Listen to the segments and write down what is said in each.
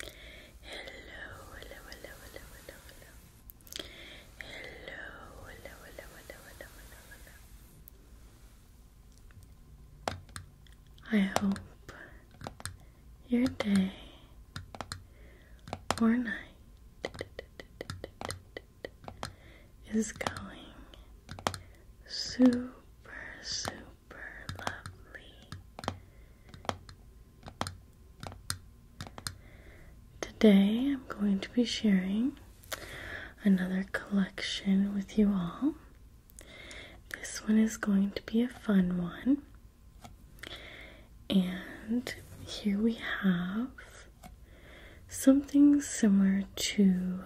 hello, hello, hello, hello, hello. Hello, hello, hello, hello, hello, hello, I hope your day or night is going super, super super lovely. Today I'm going to be sharing another collection with you all. This one is going to be a fun one. And here we have something similar to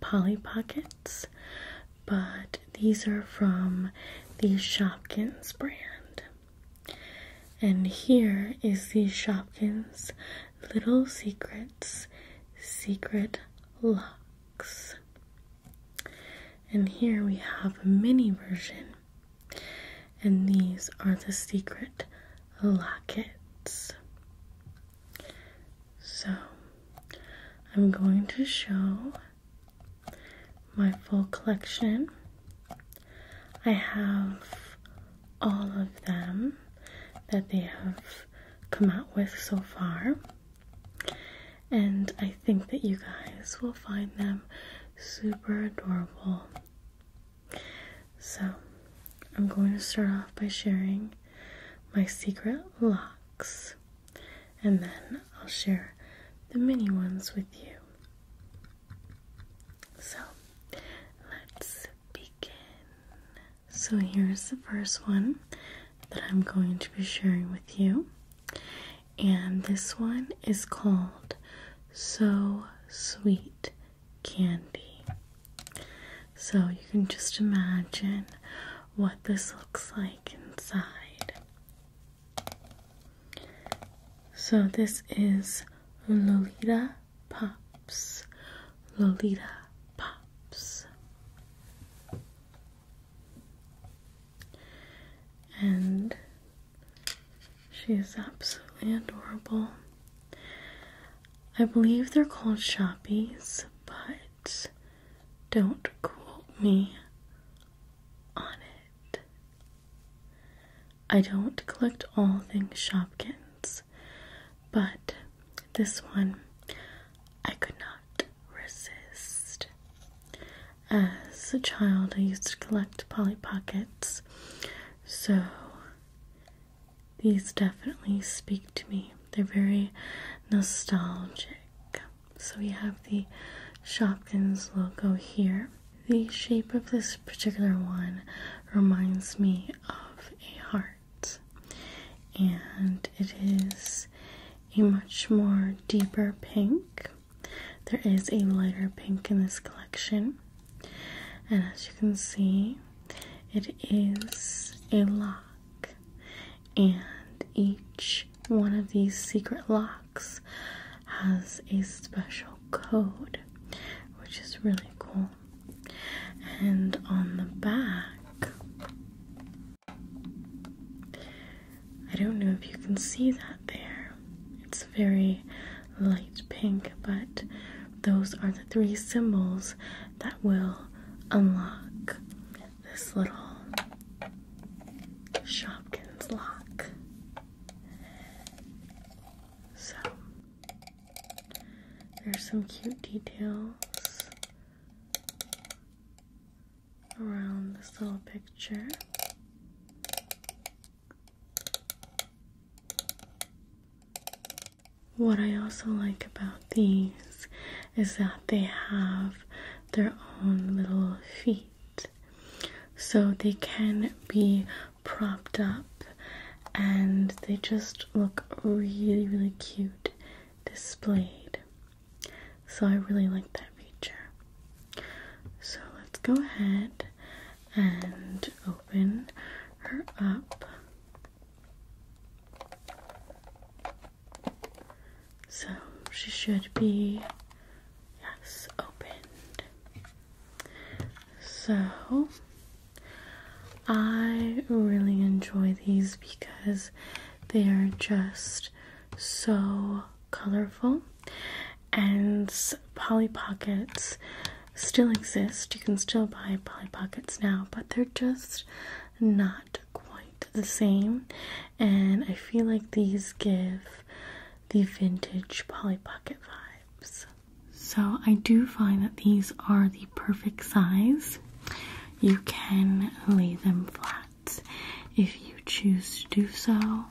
Polly Pockets, but these are from the Shopkins brand. And here is the Shopkins Little Secrets Secret Locks. And here we have a mini version. And these are the secret lockets. So I'm going to show my full collection. I have all of them that they have come out with so far, and I think that you guys will find them super adorable. So, I'm going to start off by sharing my secret locks and then I'll share the mini ones with you. So let's begin. So, here's the first one that I'm going to be sharing with you, and this one is called So Sweet Candy. So, you can just imagine what this looks like inside. So this is Lolita Pops. Lolita Pops. And she is absolutely adorable. I believe they're called Shoppies, but don't quote me on it. I don't collect all things Shopkins, but this one I could not resist. As a child, I used to collect Polly Pockets, so these definitely speak to me. They're very nostalgic. So we have the Shopkins logo here. The shape of this particular one reminds me of a heart, and it is a much more deeper pink. There is a lighter pink in this collection, and as you can see, it is a lot and each one of these secret locks has a special code, which is really cool. And on the back, I don't know if you can see that there. It's very light pink, but those are the three symbols that will unlock this little Shopkins lock. So there's some cute details around this little picture. What I also like about these is that they have their own little feet. So they can be propped up and they just look really, really cute displayed. So I really like that feature. So let's go ahead and open her up. So she should be, yes, opened. So I really enjoy these because they are just so colorful and Polly Pockets still exist. You can still buy Polly Pockets now, but they're just not quite the same, and I feel like these give the vintage Polly Pocket vibes. So, I do find that these are the perfect size. You can lay them flat if you choose to do so.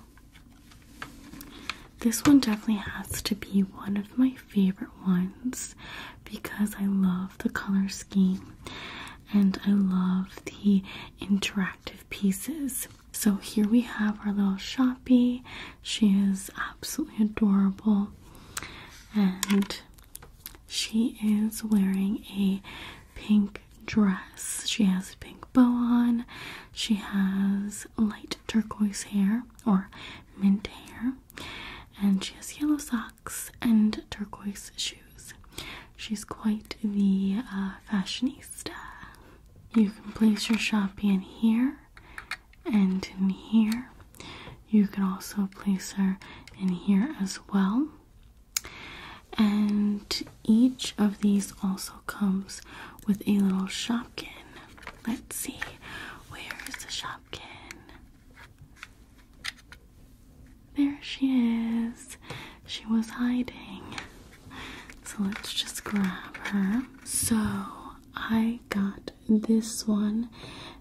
This one definitely has to be one of my favorite ones because I love the color scheme and I love the interactive pieces. So here we have our little shoppy. She is absolutely adorable and she is wearing a pink dress. She has a pink bow on. She has light turquoise hair or mint hair and she has yellow socks and turquoise shoes. She's quite the uh, fashionista. You can place your shopping in here and in here. You can also place her in here as well. And each of these also comes with a little shopkin. Let's see, where is the shopkin? There she is. She was hiding. So let's just grab her. So I got this one,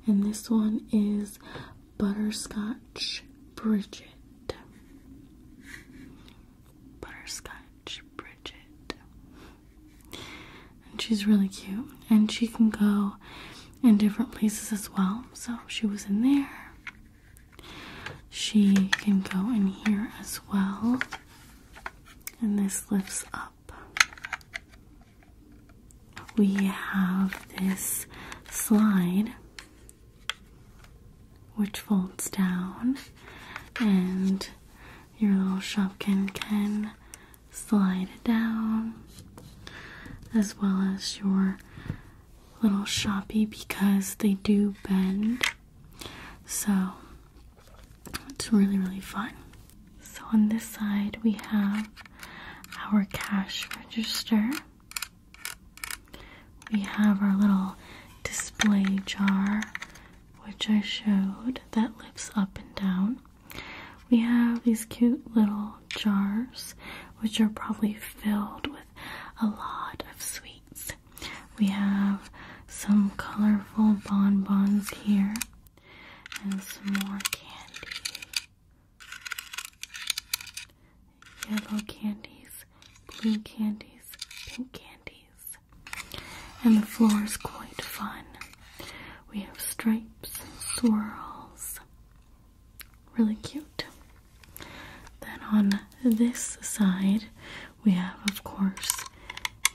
and this one is Butterscotch Bridget. Butterscotch Bridget. And she's really cute, and she can go in different places as well. So she was in there. She can go in here as well, and this lifts up. We have this slide which folds down, and your little shopkin can slide down, as well as your little shoppy because they do bend. So it's really, really fun. So on this side, we have our cash register. We have our little display jar, which I showed, that lifts up and down. We have these cute little jars, which are probably filled with a lot of sweets. We have some colorful bonbons here and some more candy. Yellow candies, blue candies, pink candies. And the floor is quite fun. We have stripes and swirls really cute. Then on this side, we have, of course,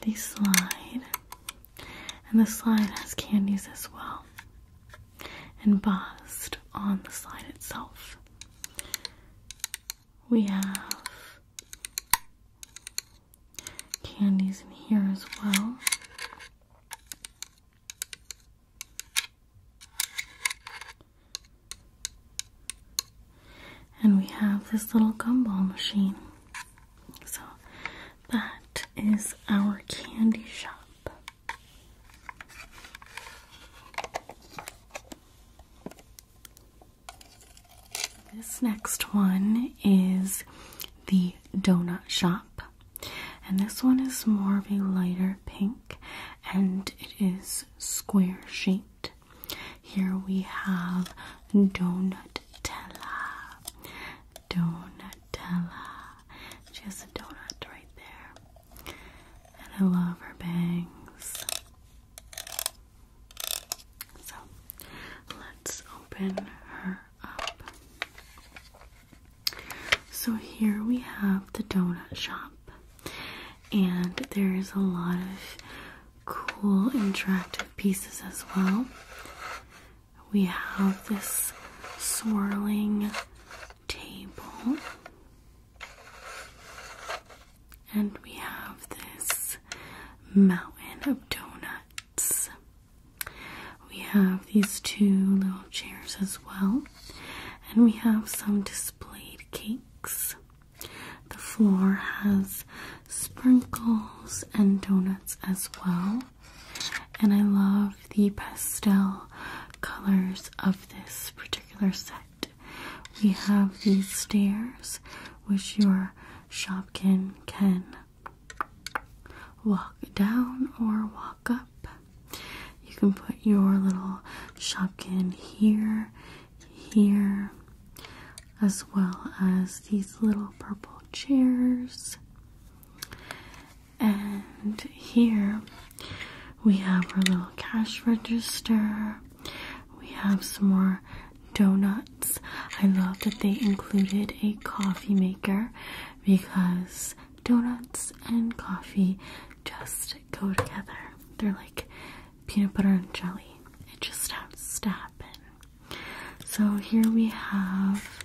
the slide, and the slide has candies as well, And embossed on the slide itself. We have candies in here as well. And we have this little gumball machine. So that is our candy shop. This next one is the donut shop. And this one is more of a lighter pink and it is square shaped. Here we have Donutella. Donutella. She has a donut right there. And I love her bangs. So let's open her up. So here we have the donut shop and there is a lot of cool interactive pieces as well. We have this swirling table, and we have this mountain of donuts. We have these two little chairs as well, and we have some displayed cakes. The floor has sprinkles and donuts as well. And I love the pastel colors of this particular set. We have these stairs which your shopkin can walk down or walk up. You can put your little shopkin here, here, as well as these little purple chairs. And here we have our little cash register. We have some more donuts. I love that they included a coffee maker because donuts and coffee just go together. They're like peanut butter and jelly. It just has to happen. So here we have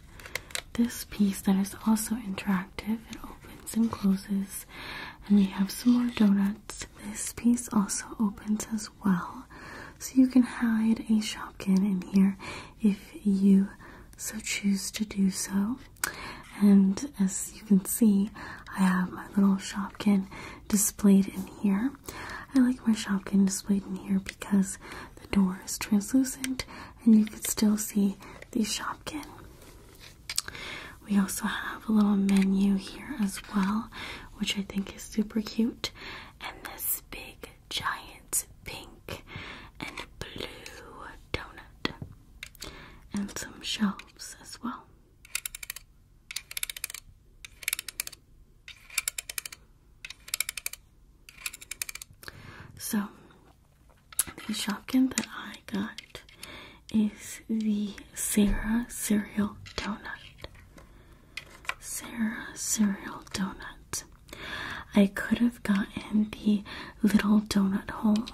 this piece that is also interactive. It opens and closes. And we have some more donuts. This piece also opens as well. So you can hide a Shopkin in here if you so choose to do so. And as you can see, I have my little Shopkin displayed in here. I like my Shopkin displayed in here because the door is translucent and you can still see the Shopkin. We also have a little menu here as well, which I think is super cute. And this big giant pink and blue donut. And some shelves as well. So, the Shopkin that I got is the Sarah Cereal Donut. Sarah Cereal Donut. I could have gotten the little donut hole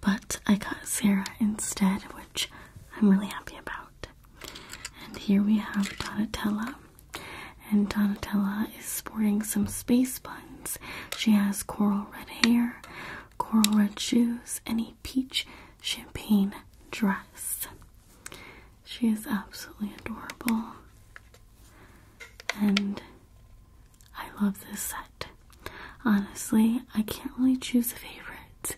but I got Sarah instead, which I'm really happy about. And here we have Donatella. And Donatella is sporting some space buns. She has coral red hair, coral red shoes, and a peach champagne dress. She is absolutely adorable. And I love this set. Honestly, I can't really choose a favorite.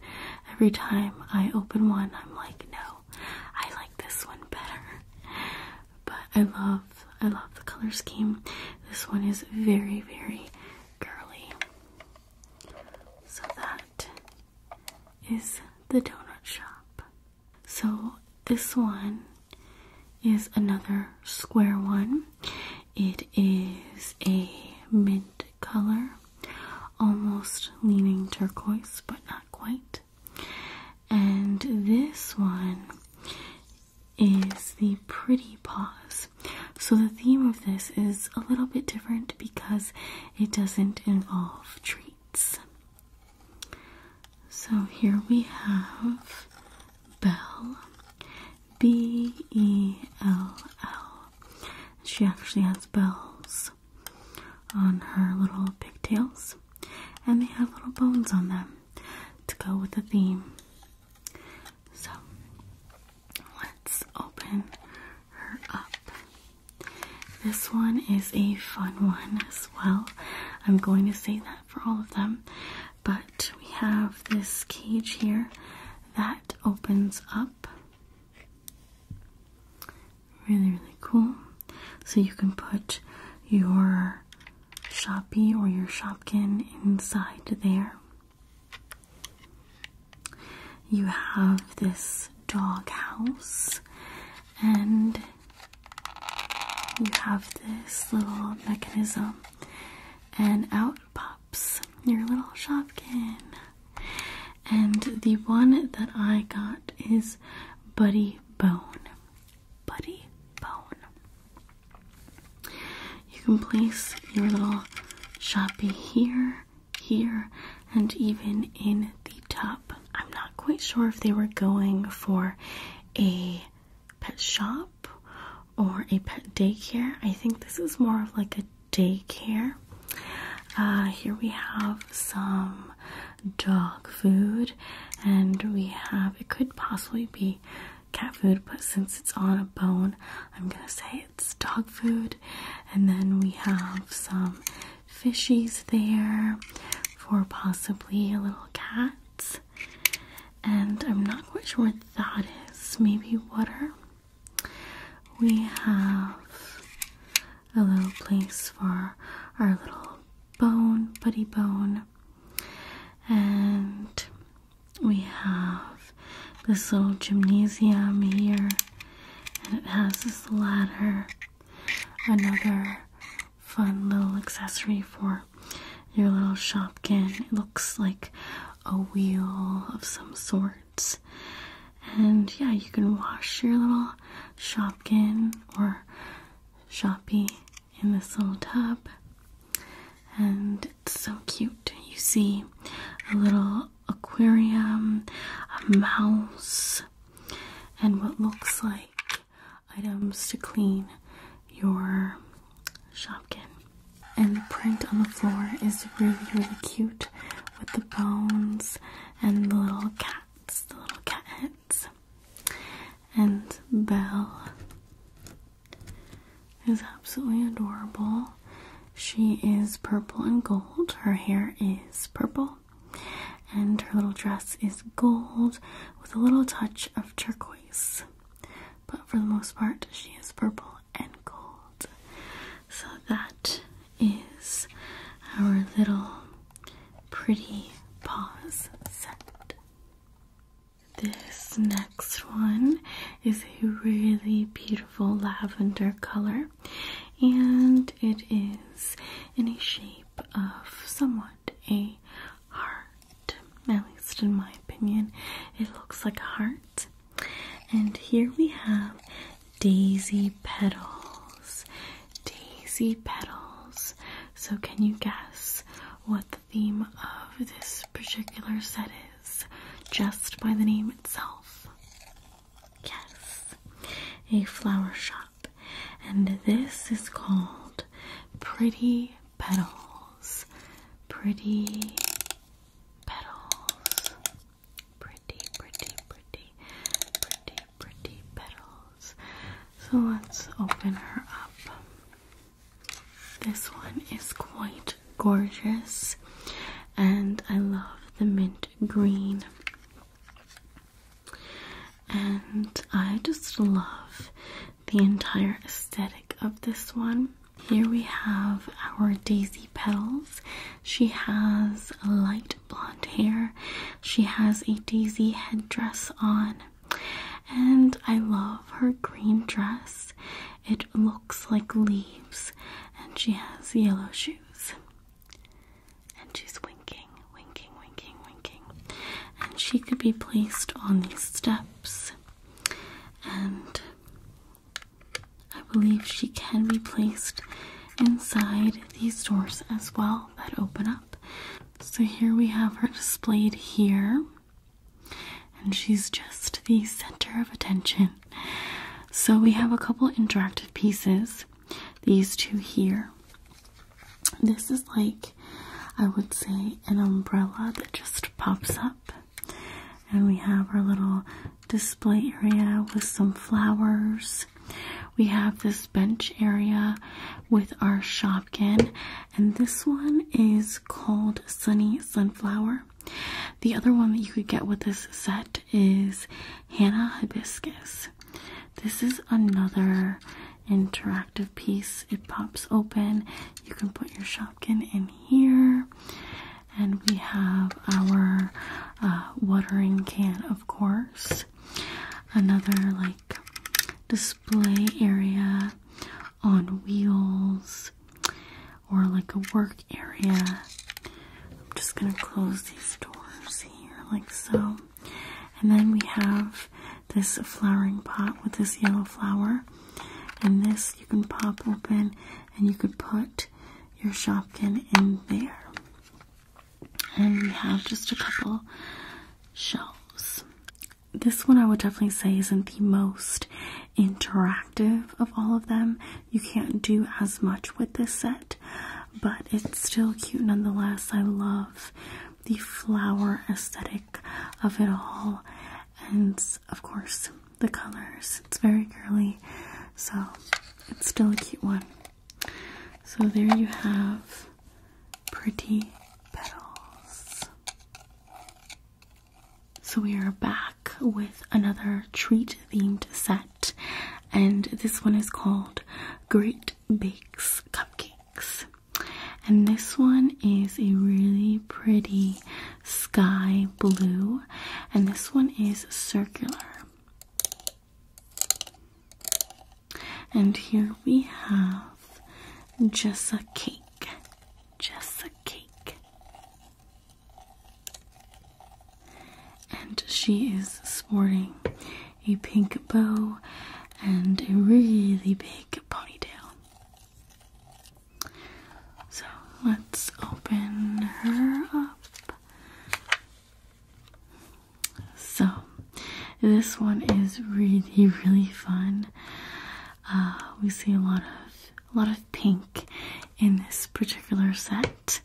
Every time I open one, I'm like, no, I like this one better. But I love, I love the color scheme. This one is very, very girly. So that is the donut shop. So this one is another square one. It is a mint color, almost leaning turquoise, but not quite. And this one is the Pretty Paws. So, the theme of this is a little bit different because it doesn't involve treats. So, here we have Belle. B E L L. She actually has bells on her little pigtails, and they have little bones on them to go with the theme. So let's open her up. This one is a fun one as well. I'm going to say that for all of them. But we have this cage here that it opens up. Really, really cool. So you can put your Shopee or your Shopkin inside there. You have this dog house and you have this little mechanism and out pops your little shopkin. And the one that I got is Buddy Bone. Buddy Bone. You can place your little shoppy here, here, and even in the top. I'm not quite sure if they were going for a pet shop or a pet daycare. I think this is more of like a daycare. Uh, here we have some dog food, and we have it could possibly be cat food, but since it's on a bone, I'm gonna say it's dog food. And then we have some fishies there for possibly a little cat, and I'm not quite sure what that is. Maybe water we have a little place for our little bone, buddy bone, and we have this little gymnasium here, and it has this ladder, another fun little accessory for your little shopkin. It looks like a wheel of some sort. And yeah, you can wash your little shopkin or shoppy in this little tub. And it's so cute. You see a little aquarium, a mouse, and what looks like items to clean your shopkin. And the print on the floor is really, really cute with the bones and the little cats, the little cat heads. And Belle is absolutely adorable. She is purple and gold. Her hair is purple. And her little dress is gold with a little touch of turquoise. But for the most part, she is purple and gold. So that is our little pretty paws set. This next one is a really beautiful lavender color, and it is in a shape of somewhat a heart. At least, in my opinion, it looks like a heart. And here we have daisy petals. Daisy petals. So, can you guess what the theme of this particular set is just by the name itself? Yes, a flower shop. And this is called Pretty Petals. Pretty petals. Pretty, pretty, pretty, pretty, pretty petals. So let's open her up. This one is quite gorgeous, and I love the mint green. And I just love the entire aesthetic of this one. Here we have our daisy petals. She has light blonde hair. She has a daisy head dress on. And I love her green dress. It looks like leaves. And she has yellow shoes. And she's winking, winking, winking, winking. And she could be placed on these steps. And I believe she can be placed inside these doors as well that open up. So here we have her displayed here, and she's just the center of attention. So we have a couple interactive pieces, these two here. This is like, I would say, an umbrella that just pops up. And we have our little display area with some flowers. We have this bench area with our Shopkin, and this one is called Sunny Sunflower. The other one that you could get with this set is Hannah Hibiscus. This is another interactive piece. It pops open. You can put your Shopkin in here and we have our uh, watering can, of course. Another like display area on wheels or like a work area. I'm just gonna close these doors here, like so. And then we have this flowering pot with this yellow flower. And this you can pop open and you could put your Shopkin in there. And we have just a couple shelves. This one I would definitely say isn't the most interactive of all of them. You can't do as much with this set, but it's still cute nonetheless. I love the flower aesthetic of it all. And of course, the colors. It's very girly, so it's still a cute one. So there you have pretty petals. So we are back with another treat themed set, and this one is called Great Bakes Cupcakes. And this one is a really pretty sky blue, and this one is circular. And here we have just cake, just cake. And she is sporting a pink bow and a really big ponytail. So let's open her up. So this one is really really fun. Uh, we see a lot of a lot of pink in this particular set,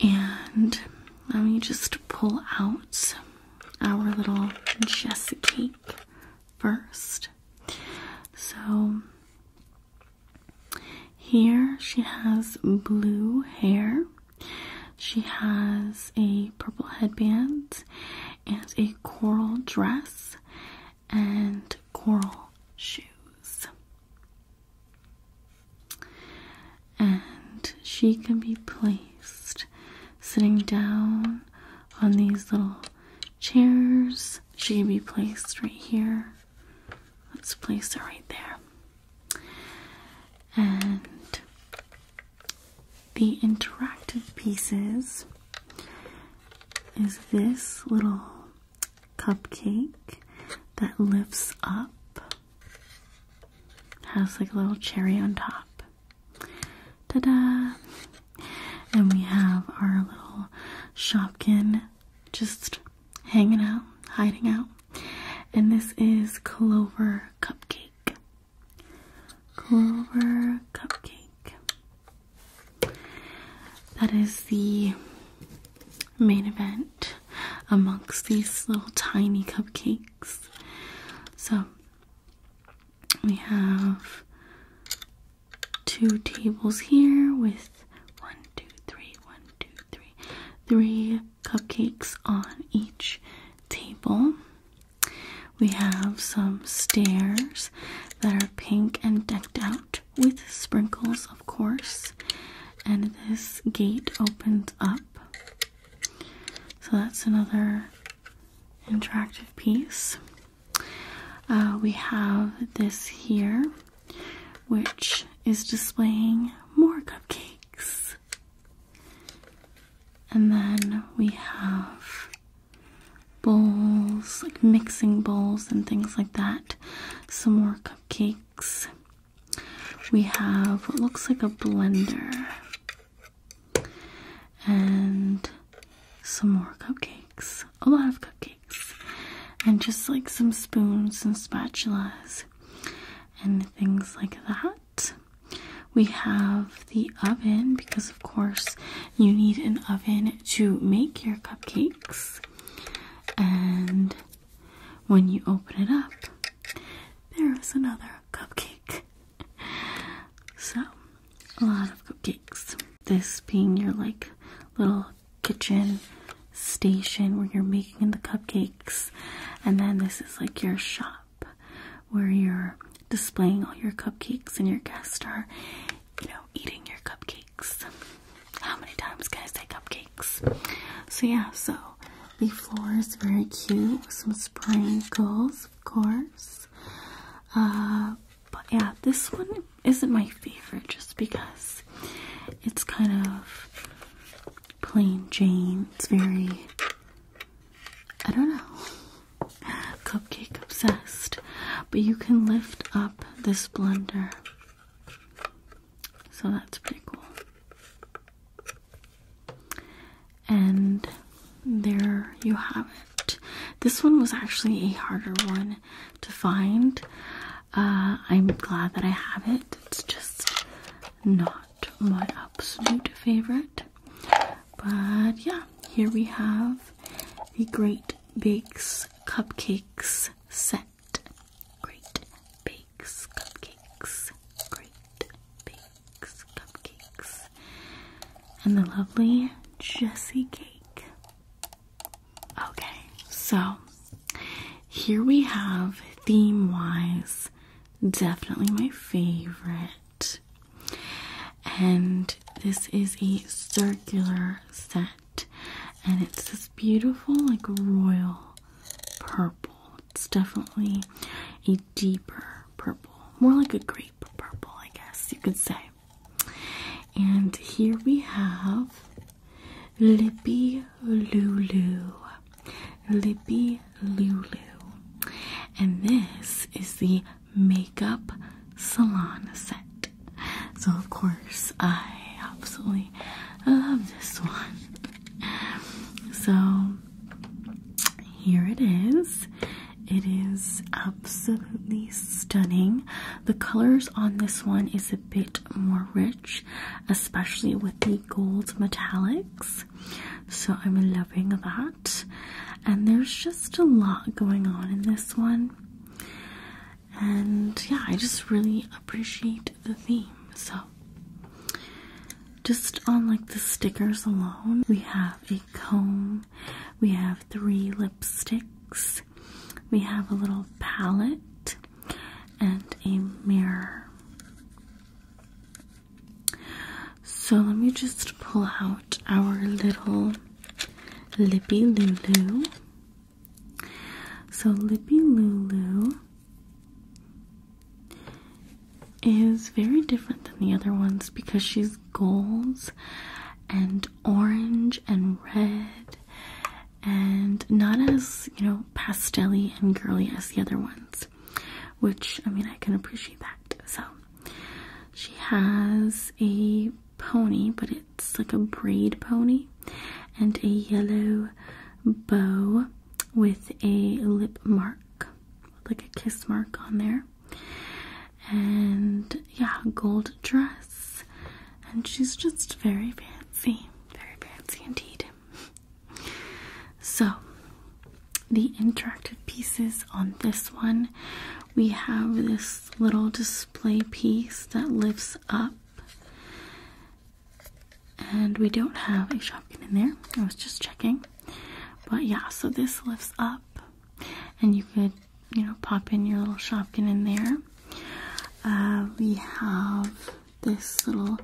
and let me just pull out our little Jessica cake first. So here she has blue hair. She has a purple headband and a coral dress and coral shoes. And she can be placed sitting down on these little chairs. She can be placed right here Let's place it right there. And the interactive pieces is this little cupcake that lifts up. Has like a little cherry on top. Ta-da! And we have our little Shopkin just hanging out, hiding out. And this is Clover Cupcake. Clover Cupcake. That is the main event amongst these little tiny cupcakes. So we have two tables here with one, two, three, one, two, three, three cupcakes on each table. We have some stairs that are pink and decked out with sprinkles, of course. And this gate opens up. So that's another interactive piece. Uh, we have this here, which is displaying more cupcakes. And then we have bowls, like mixing bowls and things like that. Some more cupcakes. We have what looks like a blender. And some more cupcakes. A lot of cupcakes and just like some spoons and spatulas and things like that. We have the oven because, of course, you need an oven to make your cupcakes. And when you open it up, there is another cupcake. So, a lot of cupcakes. This being your like little kitchen station where you're making the cupcakes, and then this is like your shop where you're displaying all your cupcakes and your guests are, you know, eating your cupcakes. How many times can say cupcakes? So, yeah, so the floor is very cute with some sprinkles, of course. Uh, but yeah, this one isn't my favorite just because it's kind of plain Jane. It's very, I don't know, cupcake obsessed. But you can lift up this blender. So that's pretty cool. And there you have it. This one was actually a harder one to find. Uh, I'm glad that I have it. It's just not my absolute favorite. But yeah, here we have the Great Bakes Cupcakes set. Great Bakes Cupcakes. Great Bakes Cupcakes. And the lovely Jessie Cake. Okay, so here we have theme wise, definitely my favorite. And this is a circular set, and it's this beautiful, like royal purple. It's definitely a deeper purple, more like a grape purple, I guess you could say. And here we have Lippy Lulu. Lippy Lulu. And this is the makeup salon set. So, of course, I absolutely love this one. So, here it is. It is absolutely stunning. The colors on this one is a bit more rich, especially with the gold metallics. So I'm loving that. And there's just a lot going on in this one. And yeah, I just really appreciate the theme. So just on like the stickers alone, we have a comb, we have three lipsticks, we have a little palette and a mirror. So let me just pull out our little Lippy Lulu. So Lippy Lulu is very different than the other ones because she's golds and orange and red and not as you know pastelly and girly as the other ones which i mean i can appreciate that so she has a pony but it's like a braid pony and a yellow bow with a lip mark like a kiss mark on there and yeah gold dress and she's just very fancy, very fancy indeed. So, the interactive pieces on this one we have this little display piece that lifts up, and we don't have a shopkin in there. I was just checking, but yeah, so this lifts up, and you could, you know, pop in your little shopkin in there. Uh, we have this little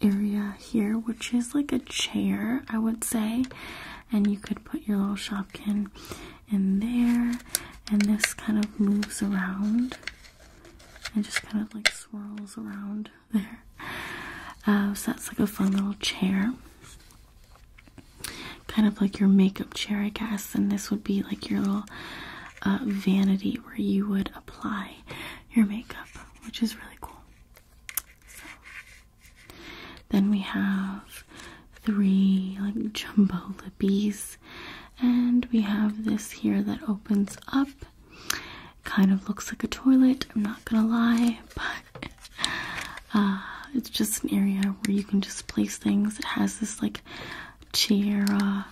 area here, which is like a chair, I would say, and you could put your little shopkin in there, and this kind of moves around and just kind of like swirls around there. Uh, so that's like a fun little chair. Kind of like your makeup chair, I guess, and this would be like your little a vanity where you would apply your makeup, which is really cool. Then we have three like jumbo lippies, and we have this here that opens up. Kind of looks like a toilet. I'm not gonna lie, but uh, it's just an area where you can just place things. It has this like Chiara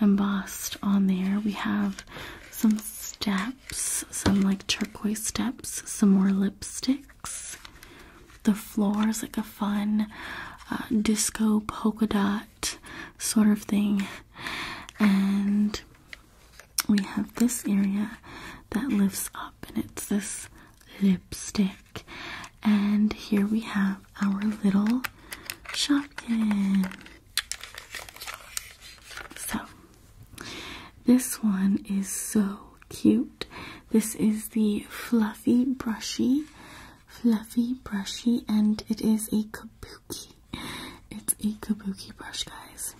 embossed on there. We have some steps, some like turquoise steps, some more lipsticks. The floor is like a fun uh, disco polka dot sort of thing. And we have this area that lifts up, and it's this lipstick. And here we have our little Shopkin. So, this one is so cute. This is the Fluffy Brushy. Fluffy Brushy, and it is a kabuki. It's a kabuki brush, guys.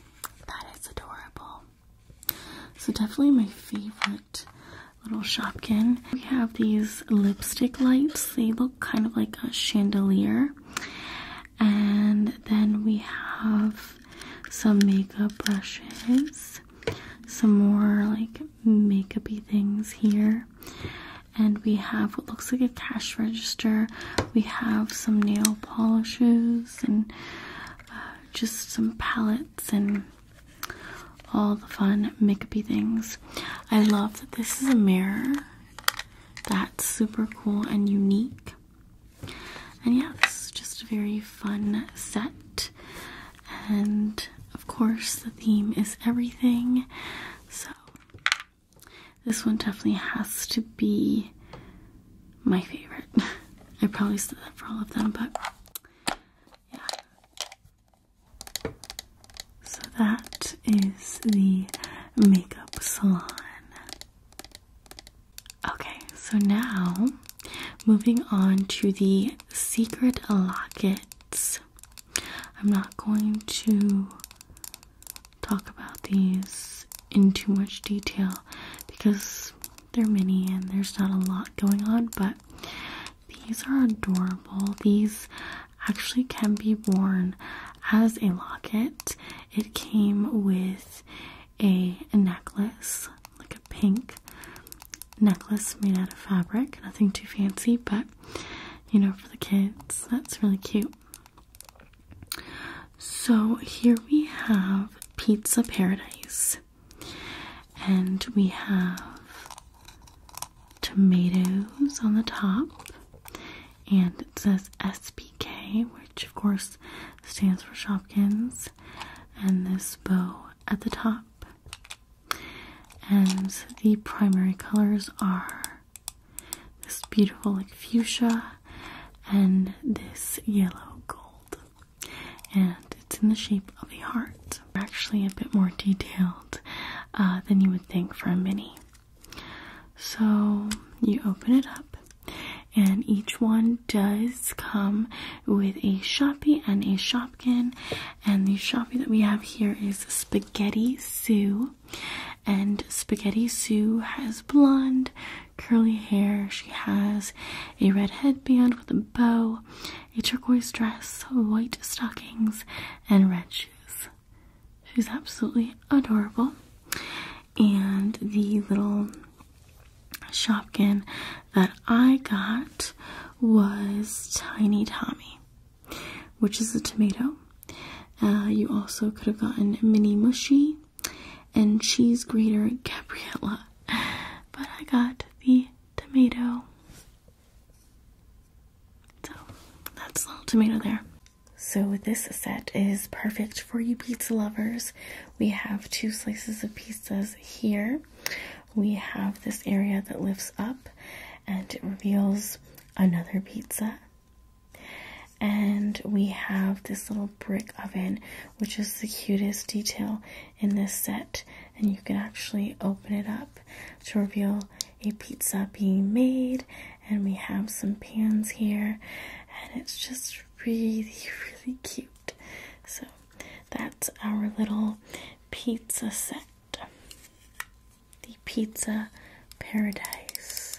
That is adorable. So, definitely my favorite little Shopkin. We have these lipstick lights. They look kind of like a chandelier. And then we have some makeup brushes, some more like makeupy things here. And we have what looks like a cash register. We have some nail polishes and uh, just some palettes and all the fun Mickey things. I love that this is a mirror. That's super cool and unique. And yeah, this is just a very fun set. And of course, the theme is everything. So, this one definitely has to be my favorite. I probably said that for all of them, but yeah, so that is the makeup salon. Okay, so now moving on to the secret lockets. I'm not going to talk about these in too much detail because they're many and there's not a lot going on, but these are adorable. These actually can be worn as a locket. It came with a, necklace, like a pink necklace made out of fabric. Nothing too fancy, but you know, for the kids, that's really cute. So here we have Pizza Paradise. And we have tomatoes on the top, and it says SPK, which of course stands for Shopkins, and this bow at the top. And the primary colors are this beautiful, like fuchsia, and this yellow gold. And it's in the shape of a heart. Actually, a bit more detail uh, than you would think for a mini. So you open it up, and each one does come with a Shopee and a Shopkin. And the Shopee that we have here is Spaghetti Sue. And Spaghetti Sue has blonde, curly hair. She has a red headband with a bow, a turquoise dress, white stockings, and red shoes. She's absolutely adorable, and the little Shopkin that I got was Tiny Tommy, which is a tomato. Uh, you also could have gotten Mini Mushy and Cheese Grater Gabriella, but I got the tomato. So that's a little tomato there. So this set is perfect for you pizza lovers. We have two slices of pizzas here. We have this area that lifts up and it reveals another pizza. And we have this little brick oven, which is the cutest detail in this set. And you can actually open it up to reveal a pizza being made, and we have some pans here, and it's just really, really cute. So that's our little pizza set the pizza paradise.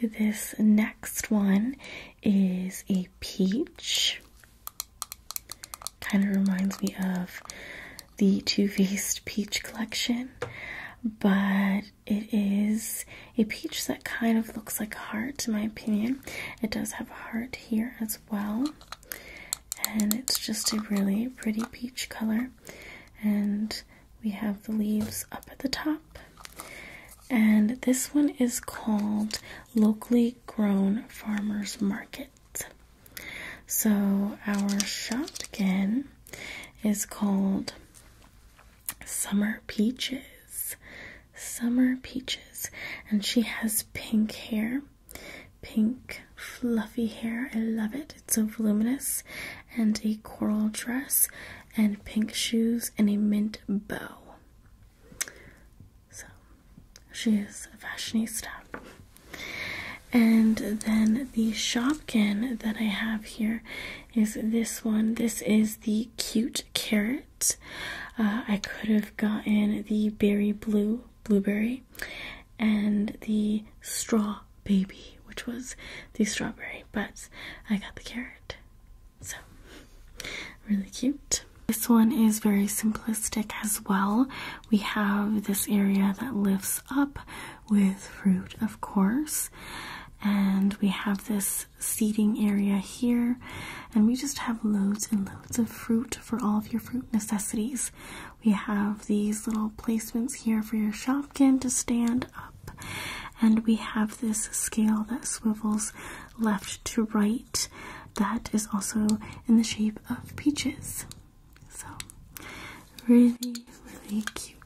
This next one is a peach. Kind of reminds me of the 2 Faced Peach collection, but it is a peach that kind of looks like a heart, in my opinion. It does have a heart here as well, and it's just a really pretty peach color. And we have the leaves up at the top, and this one is called Locally Grown Farmers Market. So our shopkin is called Summer Peaches. Summer Peaches. And she has pink hair. Pink fluffy hair. I love it. It's so voluminous. And a coral dress and pink shoes and a mint bow. So she is a fashionista. And then the Shopkin that I have here is this one. This is the Cute Carrot. Uh, I could have gotten the Berry Blue Blueberry and the Straw Baby, which was the strawberry, but I got the carrot. So, really cute. This one is very simplistic as well. We have this area that lifts up with fruit, of course. And we have this seating area here, and we just have loads and loads of fruit for all of your fruit necessities. We have these little placements here for your shopkin to stand up, and we have this scale that swivels left to right that is also in the shape of peaches. So, really, really cute.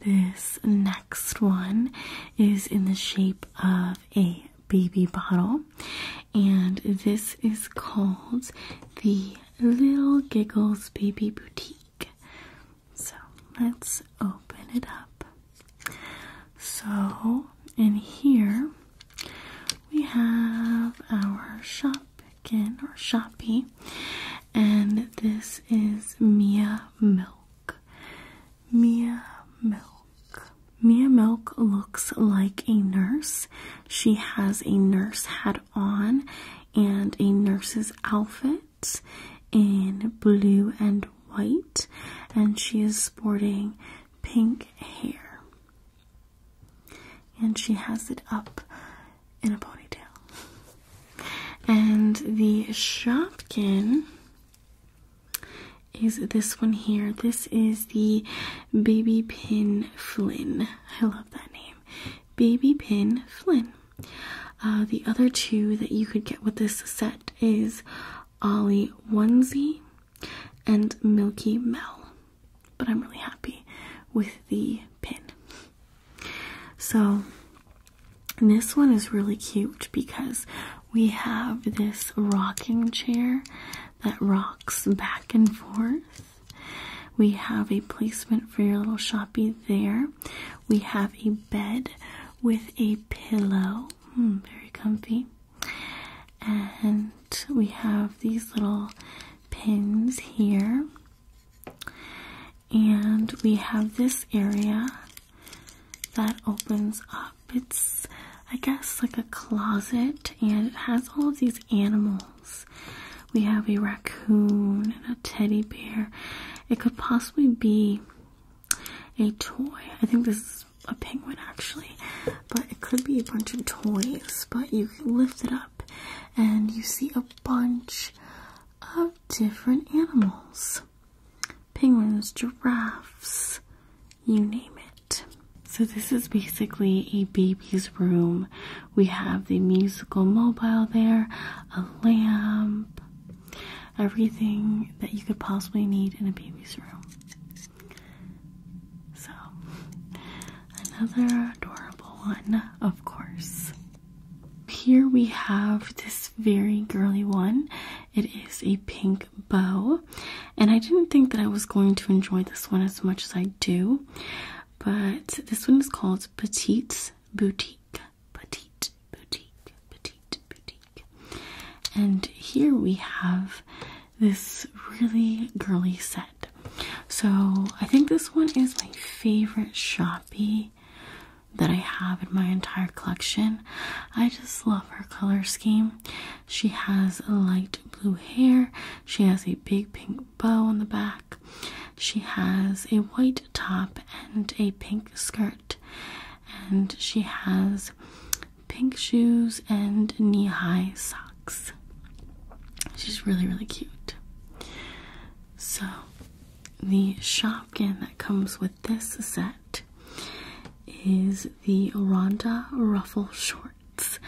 This next one is in the shape of a baby bottle, and this is called the Little Giggles Baby Boutique. So, let's open it up. So, in here we have our shop shop or Shopee, and this is Mia Milk. Mia Milk. Mia Milk looks like a nurse. She has a nurse hat on and a nurse's outfit in blue and white, and she is sporting pink hair and she has it up in a ponytail. And the Shopkin is this one here. This is the Baby Pin Flynn. I love that name. Baby Pin Flynn. Uh, the other two that you could get with this set is Ollie Onesie and Milky Mel but I'm really happy with the pin. So, this one is really cute because we have this rocking chair that rocks back and forth. We have a placement for your little shoppy there. We have a bed with a pillow. Hmm, very comfy. And we have these little pins here. And we have this area that opens up. It's, I guess, like a closet, and it has all of these animals. We have a raccoon and a teddy bear. It could possibly be a toy. I think this is a penguin actually, but it could be a bunch of toys. But you lift it up and you see a bunch of different animals penguins, giraffes, you name it. So, this is basically a baby's room. We have the musical mobile there, a lamp, everything that you could possibly need in a baby's room. So, Another adorable one, of course. Here we have this very girly one. It is a pink bow, and I didn't think that I was going to enjoy this one as much as I do, but this one is called Petite Boutique. Petite Boutique, Petite Boutique. And here we have this really girly set. So I think this one is my favorite Shopee that I have in my entire collection. I just love her color scheme. She has light blue hair. She has a big pink bow on the back. She has a white top and a pink skirt. And she has pink shoes and knee high socks. She's really, really cute. So, the shopkin that comes with this set is the Rhonda Ruffle Shorts.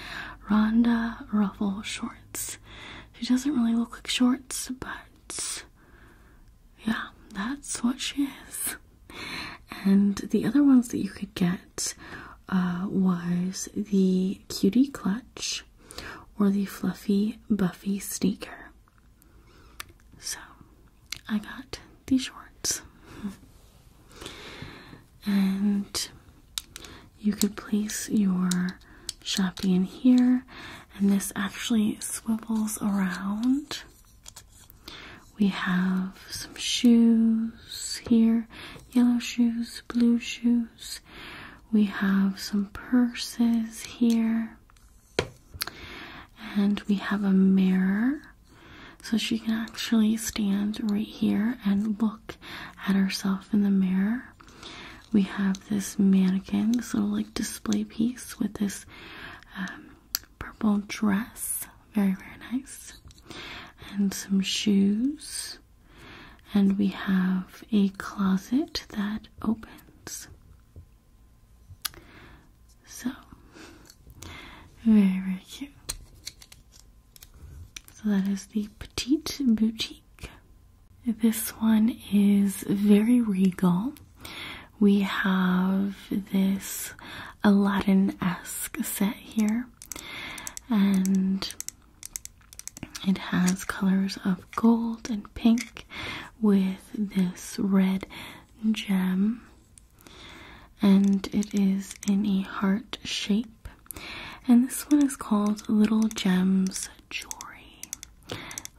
Rhonda Ruffle Shorts. She doesn't really look like shorts, but yeah, that's what she is. And the other ones that you could get uh, was the Cutie Clutch or the fluffy Buffy sneaker. So I got these shorts. and you could place your shopping in here, and this actually swivels around. We have some shoes here yellow shoes, blue shoes. We have some purses here, and we have a mirror so she can actually stand right here and look at herself in the mirror. We have this mannequin, this little like display piece with this um, purple dress, very, very nice, and some shoes and we have a closet that opens. So, very cute. So, that is the Petite Boutique. This one is very regal. We have this Aladdin esque set here, and it has colors of gold and pink with this red gem, and it is in a heart shape. And this one is called Little Gems Jewelry.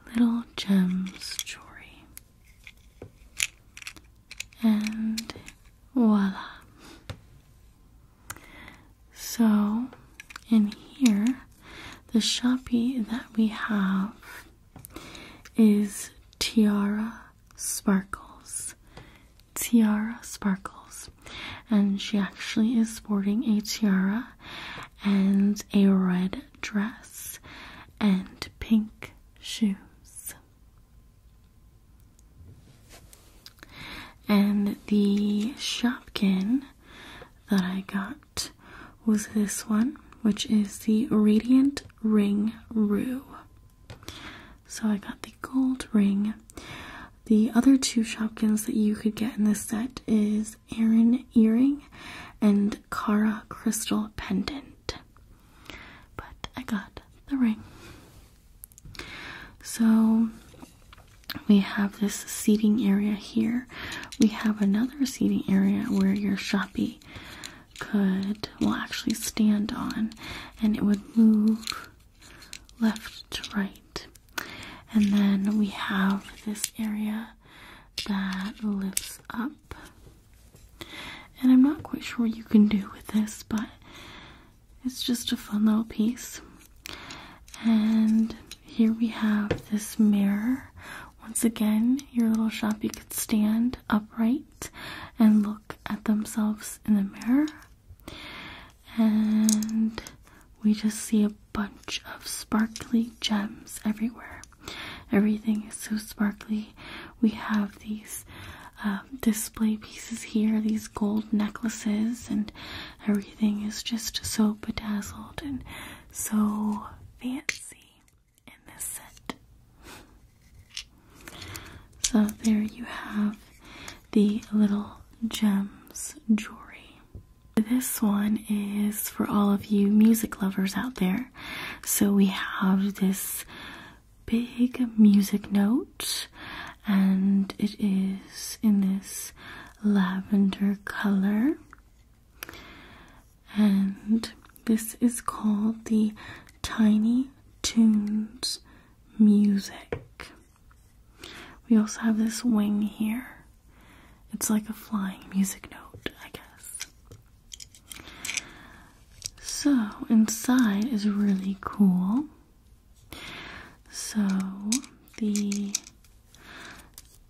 Little Gems Jewelry. And voila. So, in here, the Shopee that we have is Tiara Sparkles. Tiara Sparkles. And she actually is sporting a tiara and a red dress and pink shoes. And the Shopkin that I got was this one, which is the Radiant Ring Rue. So I got the gold ring. The other two Shopkins that you could get in this set is Erin Earring and Cara Crystal Pendant. But I got the ring. So we have this seating area here. We have another seating area where your shoppy could well actually stand on and it would move left to right. And then we have this area that lifts up. And I'm not quite sure what you can do with this, but it's just a fun little piece. And here we have this mirror. Once again, your little shoppy could stand upright and look at themselves in the mirror. And we just see a bunch of sparkly gems everywhere. Everything is so sparkly. We have these um, display pieces here, these gold necklaces and Everything is just so bedazzled and so fancy in this set. So, there you have the little gems jewelry. This one is for all of you music lovers out there. So, we have this big music note, and it is in this lavender color. And this is called the Tiny Tunes Music. We also have this wing here. It's like a flying music note, I guess. So, inside is really cool. So, the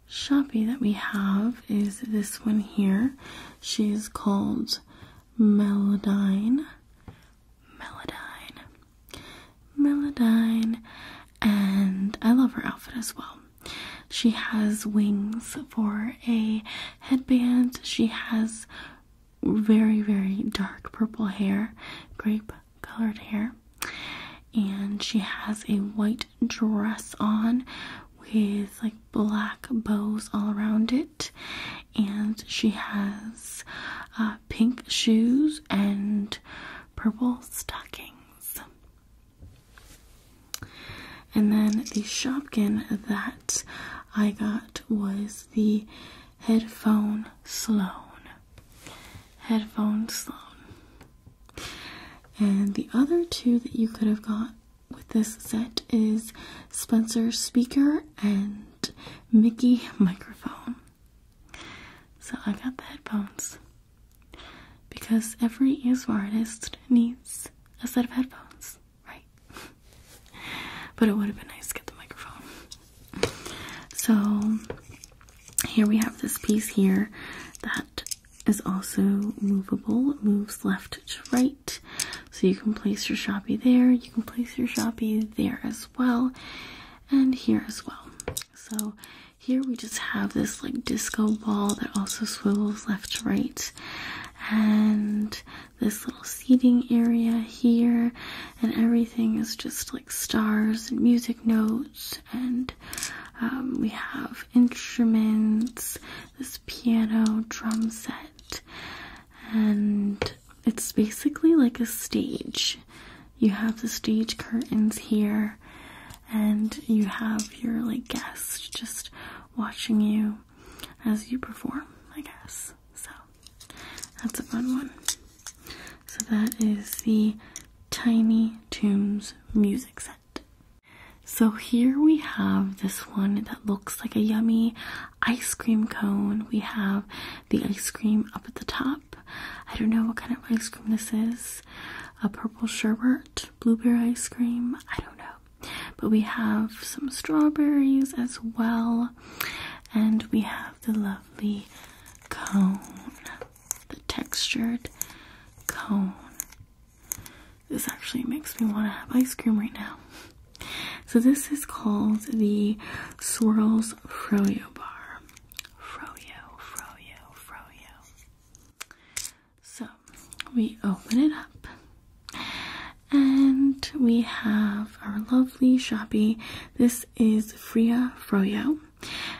Sharpie that we have is this one here. She is called Melodyne. Melodyne. Melodyne. And I love her outfit as well. She has wings for a headband. She has very, very dark purple hair, grape colored hair. And she has a white dress on with like black bows all around it. And she has uh, pink shoes and purple stockings. And then the Shopkin that I got was the Headphone Sloan. Headphone Sloan. And the other two that you could have got with this set is Spencer Speaker and Mickey Microphone. So I got the headphones because every ASMR artist needs a set of headphones, right? but it would have been nice to get the microphone. So here we have this piece here that is also movable. moves left to right. So you can place your Shopee there. You can place your Shopee there as well. And here as well. So here we just have this like disco ball that also swivels left to right. And this little seating area here. And everything is just like stars and music notes and um, we have instruments, this piano drum set, and it's basically like a stage. You have the stage curtains here, and you have your like guests just watching you as you perform, I guess. So that's a fun one. So that is the Tiny Toons music set. So here we have this one that looks like a yummy ice cream cone. We have the ice cream up at the top. I don't know what kind of ice cream this is. A purple sherbet, blueberry ice cream, I don't know. But we have some strawberries as well. And we have the lovely cone the textured cone. This actually makes me want to have ice cream right now. So this is called the Swirls Froyo Bar. Froyo, Froyo, Froyo. So we open it up. And we have our lovely shoppy. This is Fria Froyo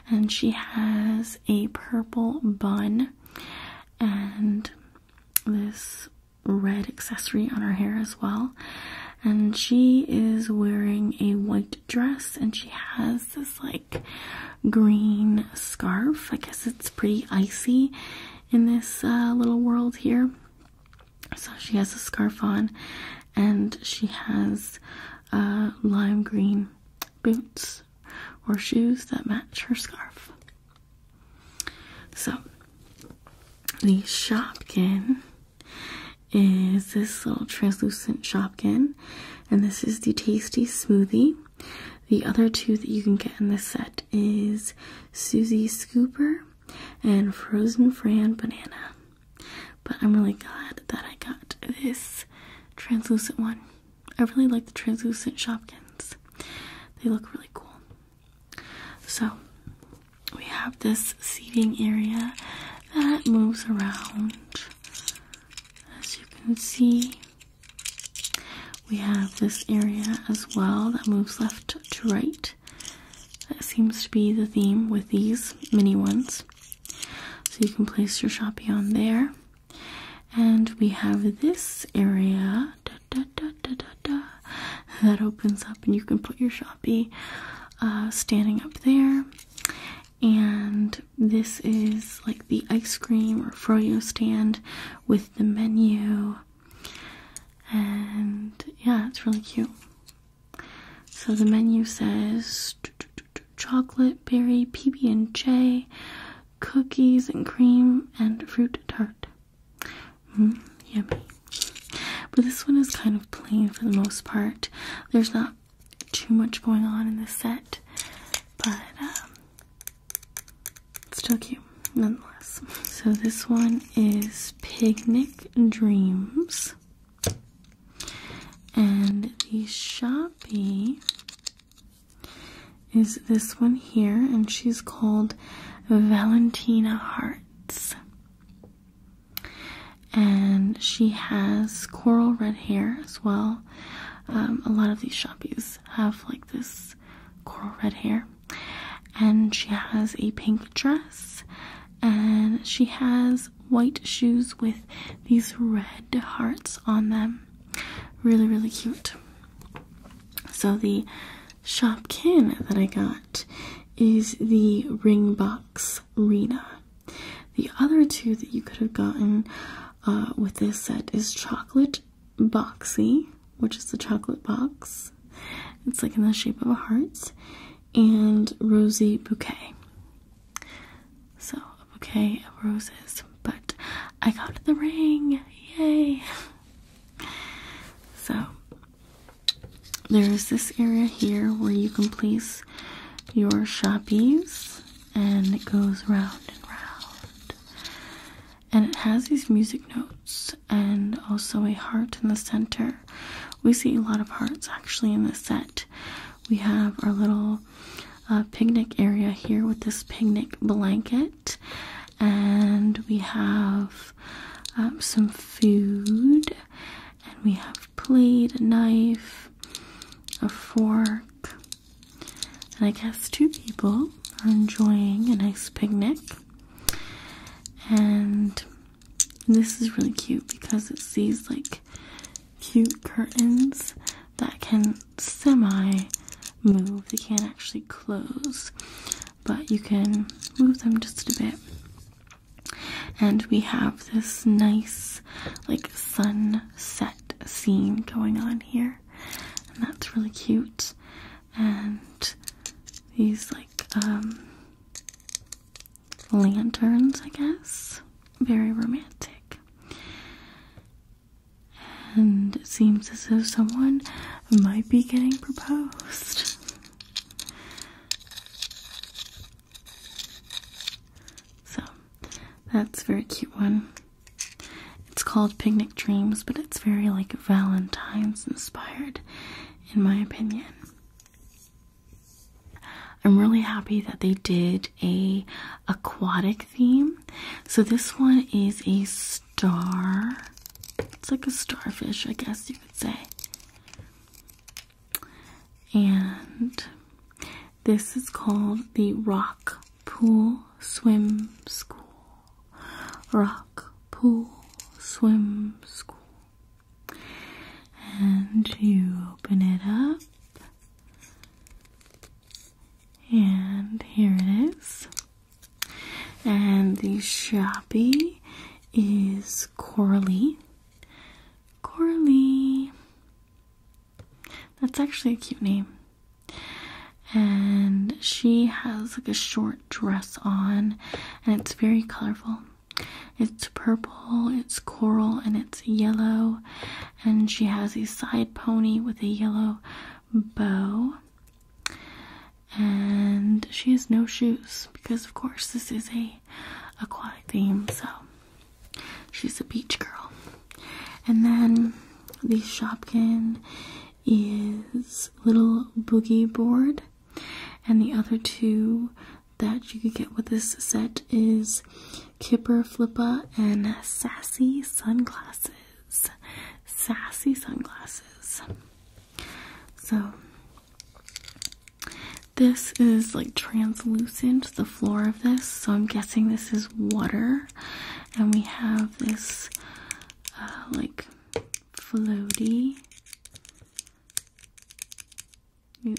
and she has a purple bun and this red accessory on her hair as well. And she is wearing a white dress and she has this like green scarf. I guess it's pretty icy in this uh, little world here. So she has a scarf on and she has uh, lime green boots or shoes that match her scarf. So, the Shopkin is this little translucent Shopkin, and this is the Tasty Smoothie. The other two that you can get in this set is Susie Scooper and Frozen Fran Banana. But I'm really glad that I got this translucent one I really like the translucent Shopkins. They look really cool. So we have this seating area that moves around. As you can see, we have this area as well that moves left to right. That seems to be the theme with these mini ones. So you can place your shopping on there and we have this area that opens up, and you can put your Shopee uh, standing up there. And this is like the ice cream or froyo stand with the menu, and yeah, it's really cute. So the menu says chocolate berry PB&J, cookies and cream, and fruit tart. Mm, yummy. But this one is kind of plain for the most part. There's not too much going on in this set, but um, it's still cute nonetheless. So this one is Picnic Dreams. And the shoppy is this one here, and she's called Valentina Hearts. And she has coral red hair as well. Um, a lot of these shoppies have like this coral red hair. And she has a pink dress, and she has white shoes with these red hearts on them really, really cute. So the Shopkin that I got is the ring box Rena. The other two that you could have gotten uh, with this set is Chocolate Boxy, which is the chocolate box. It's like in the shape of a heart, and Rosy Bouquet. So okay, roses, but I got the ring. Yay! So there's this area here where you can place your shoppies and it goes round and round. And it has these music notes and also a heart in the center. We see a lot of hearts actually in this set. We have our little uh, picnic area here with this picnic blanket, and we have um, some food, and we have plate, a knife, a fork, and I guess two people are enjoying a nice picnic. And this is really cute because it sees like cute curtains that can semi move. They can't actually close, but you can move them just a bit. And we have this nice, like, sunset scene going on here, and that's really cute. And these, like, um, lanterns, I guess, very romantic. And it seems as though someone might be getting proposed. So, that's very cute one. It's called Picnic Dreams, but it's very like Valentine's inspired, in my opinion. I'm really happy that they did a aquatic theme. So this one is a star. It's like a starfish, I guess you could say. And this is called the Rock Pool Swim School. Rock Pool Swim School. And you open it up. And here it is. And the shabby is Coralie. Coralie. That's actually a cute name. And she has like a short dress on, and it's very colorful. It's purple, it's coral, and it's yellow, and she has a side pony with a yellow bow. And she has no shoes because, of course, this is a aquatic theme, so she's a beach girl. And then the Shopkin is little boogie board, and the other two that you could get with this set is Kipper Flippa, and Sassy Sunglasses. Sassy Sunglasses. So, this is like translucent, the floor of this, so I'm guessing this is water. And we have this uh, like floaty,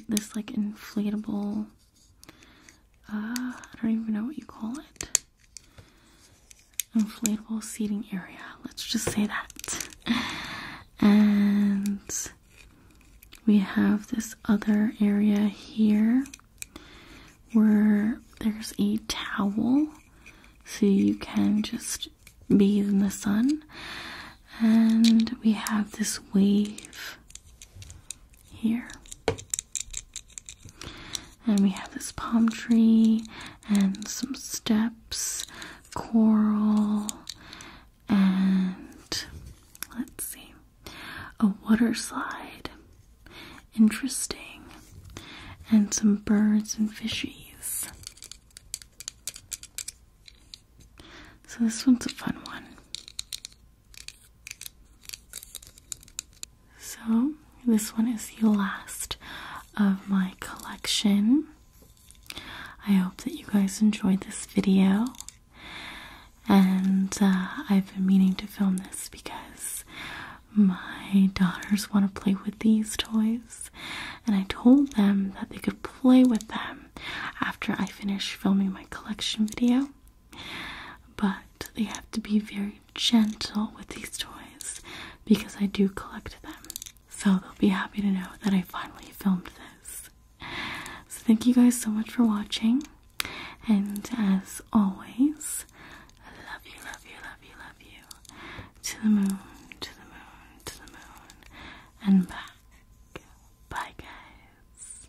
this like inflatable uh, I don't even know what you call it. Inflatable seating area. Let's just say that. And we have this other area here where there's a towel so you can just bathe in the sun. And we have this wave here. And we have this palm tree and some steps, coral, and let's see, a water slide. Interesting. And some birds and fishies. So this one's a fun one. So, this one is the last of my collection. I hope that you guys enjoyed this video. And uh, I've been meaning to film this because my daughters want to play with these toys. And I told them that they could play with them after I finish filming my collection video. But they have to be very gentle with these toys because I do collect them. So they'll be happy to know that I finally filmed this. So thank you guys so much for watching. And as always, I love you, love you, love you, love you. To the moon, to the moon, to the moon, and back. Bye, guys.